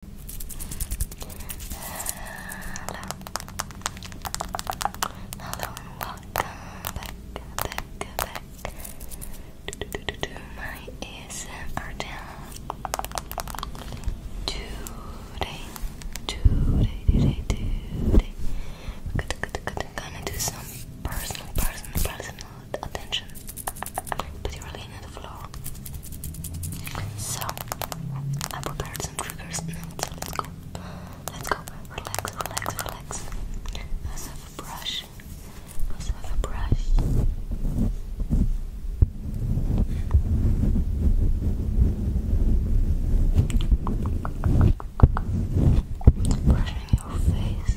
Hello. Hello welcome back, back, back my ASMR channel. Today, today, today, today, gonna do some personal, personal, personal attention but you're laying on the floor. So I prepared some triggers now, let's go. Let's go. Relax, relax, relax. Let's have a brush. Let's have a brush. Brushing your face.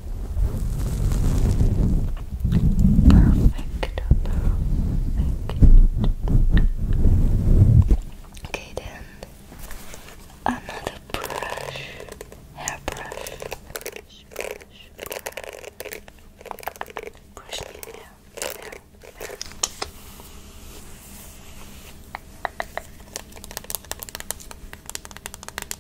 Perfect, perfect. Okay, then another brush, hairbrush. Brush, brush, brush. hair.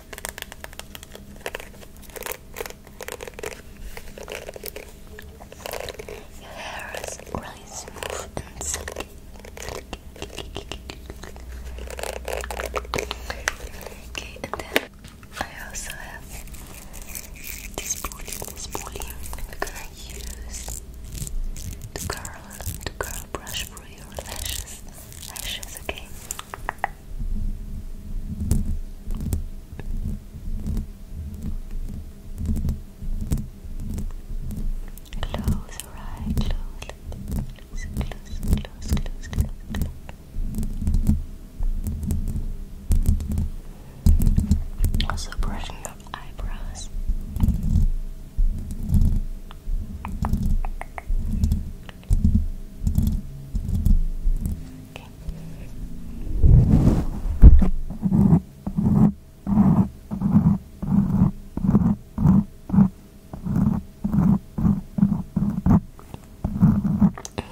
Your hair is really smooth and silky. Okay, and then I also have this pulley, this pulley we're gonna use to curl, to curl brush for your lashes lashes, okay? Close your close, close, close, close, close, close. Also brushing your eyebrows. Okay.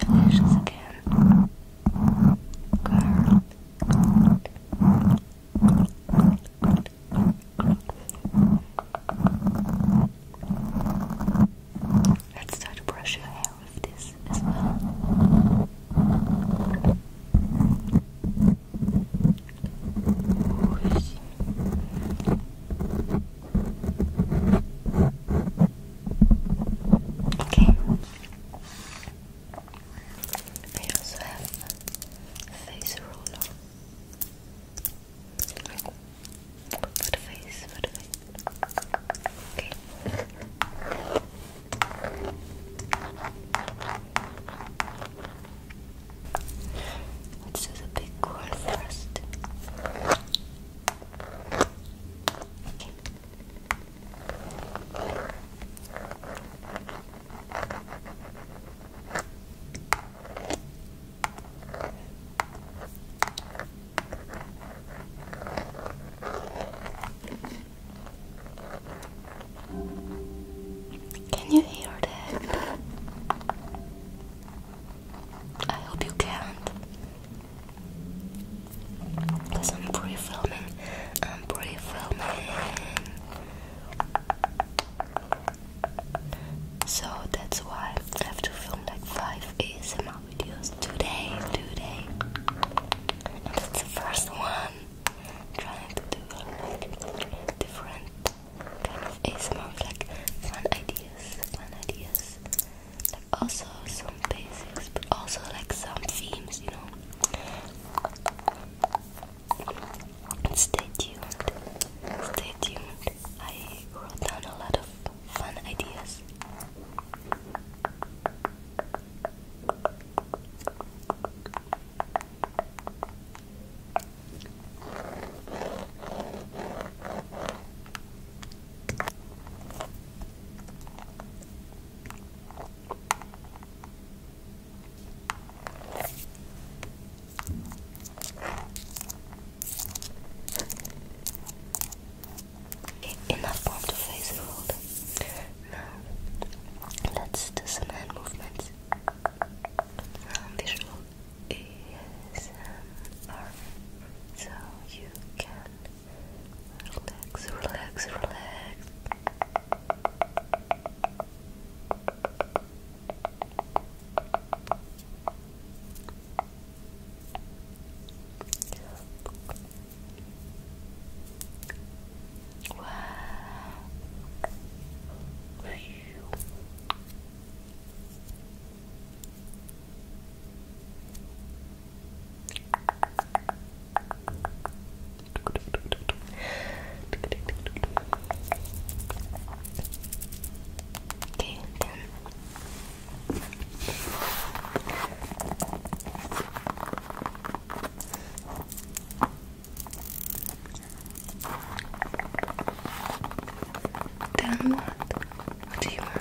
Relations again. Good. Good. Good. Good. Let's try to brush your hair with this as well. Okay. I also have a face roller. For face, for face. Okay. Let's do the big one first. Okay. Can you hear that? I hope you can't. Because i filming I'm pre-filming. Um, so that's why I have to film like five ASMR videos today, today. And that's the first one. trying to do like different kind of ASMR, like fun ideas, fun ideas. Like also some basics, but also like some themes, you know. Stay tuned. Stay tuned. I wrote down a lot of fun ideas. Enough palm to face fold. Now, let's do some hand movements. Um, visual is so you can Relax, relax, relax. Wow. Okay, then. Then what? What do you want?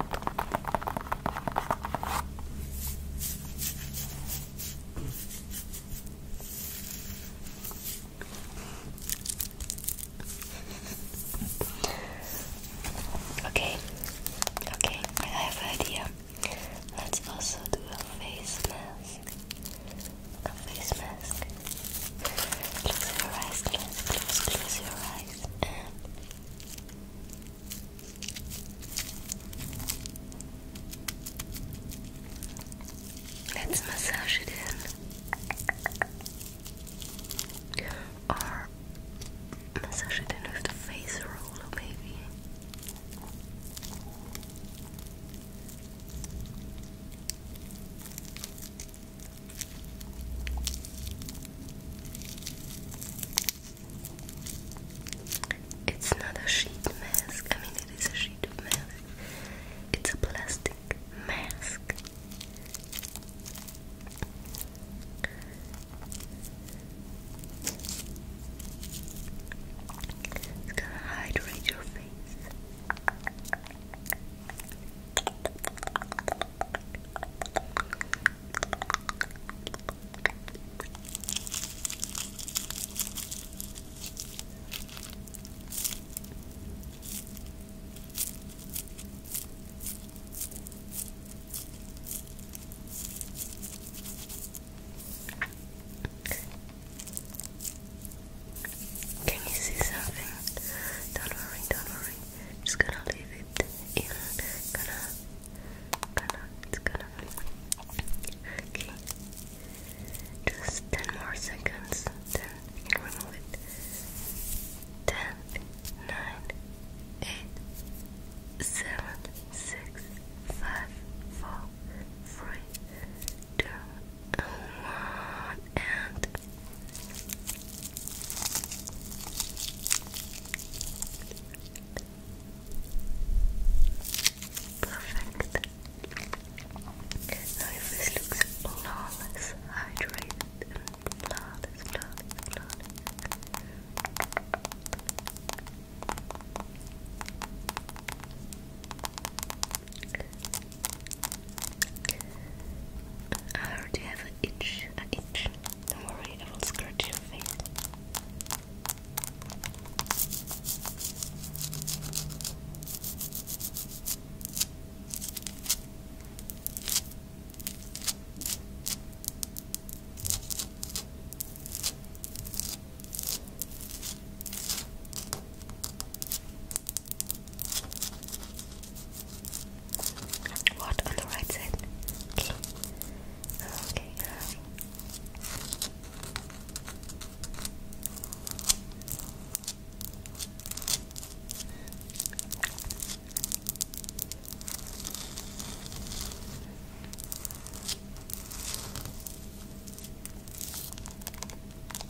okay, okay, I have an idea. Let's also do a face mask. A face mask. Close your eyes, close, close, close your eyes, Let's massage it in. Or massage it in with the face roller, maybe. It's not a sheet mask. I mean, it is a sheet of mask. It's a plastic mask. It's gonna hydrate your face. Can you see something? Don't worry, don't worry. I'm just gonna leave it in. Gonna, gonna, it's gonna. Okay. Just 10 more seconds, then you can remove it. 10, and Perfect. Now if looks flawless, hydrated flawless, flawless, flawless. I already have an itch, an itch. Don't worry, I will scratch your face. What on the right side? Okay. Okay.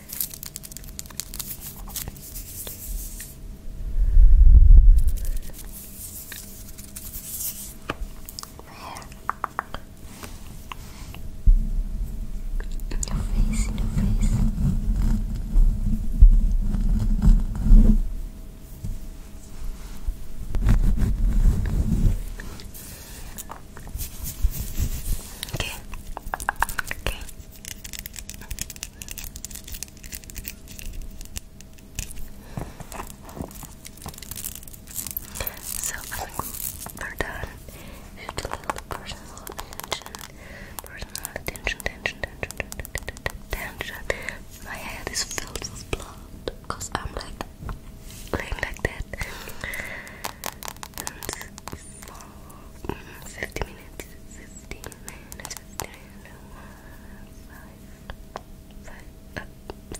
hair. In your face, in your face. Okay. Okay. So we're done. Just a little personal attention. Personal attention, tension, tension, tension, tension. My head is filled with blood because I'm like laying like that and for 50 minutes 50 minutes 50 minutes five, five, uh,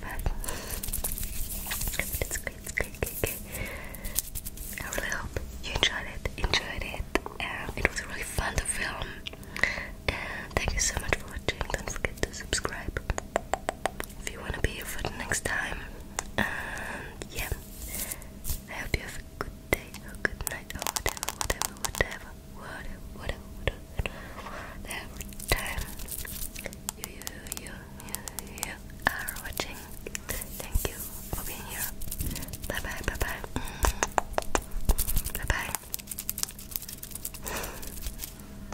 five. it's great, it's great, great, great. I really hope you enjoyed it, enjoyed it and um, it was really fun to film and thank you so much for watching, don't forget to subscribe if you want to be here for the next time. yeah, I hope you have a good day or good night or whatever, whatever, whatever, whatever, whatever, whatever, whatever, time you, you, you, you, you are watching. Thank you for being here. Bye bye, mm. bye bye. Bye bye.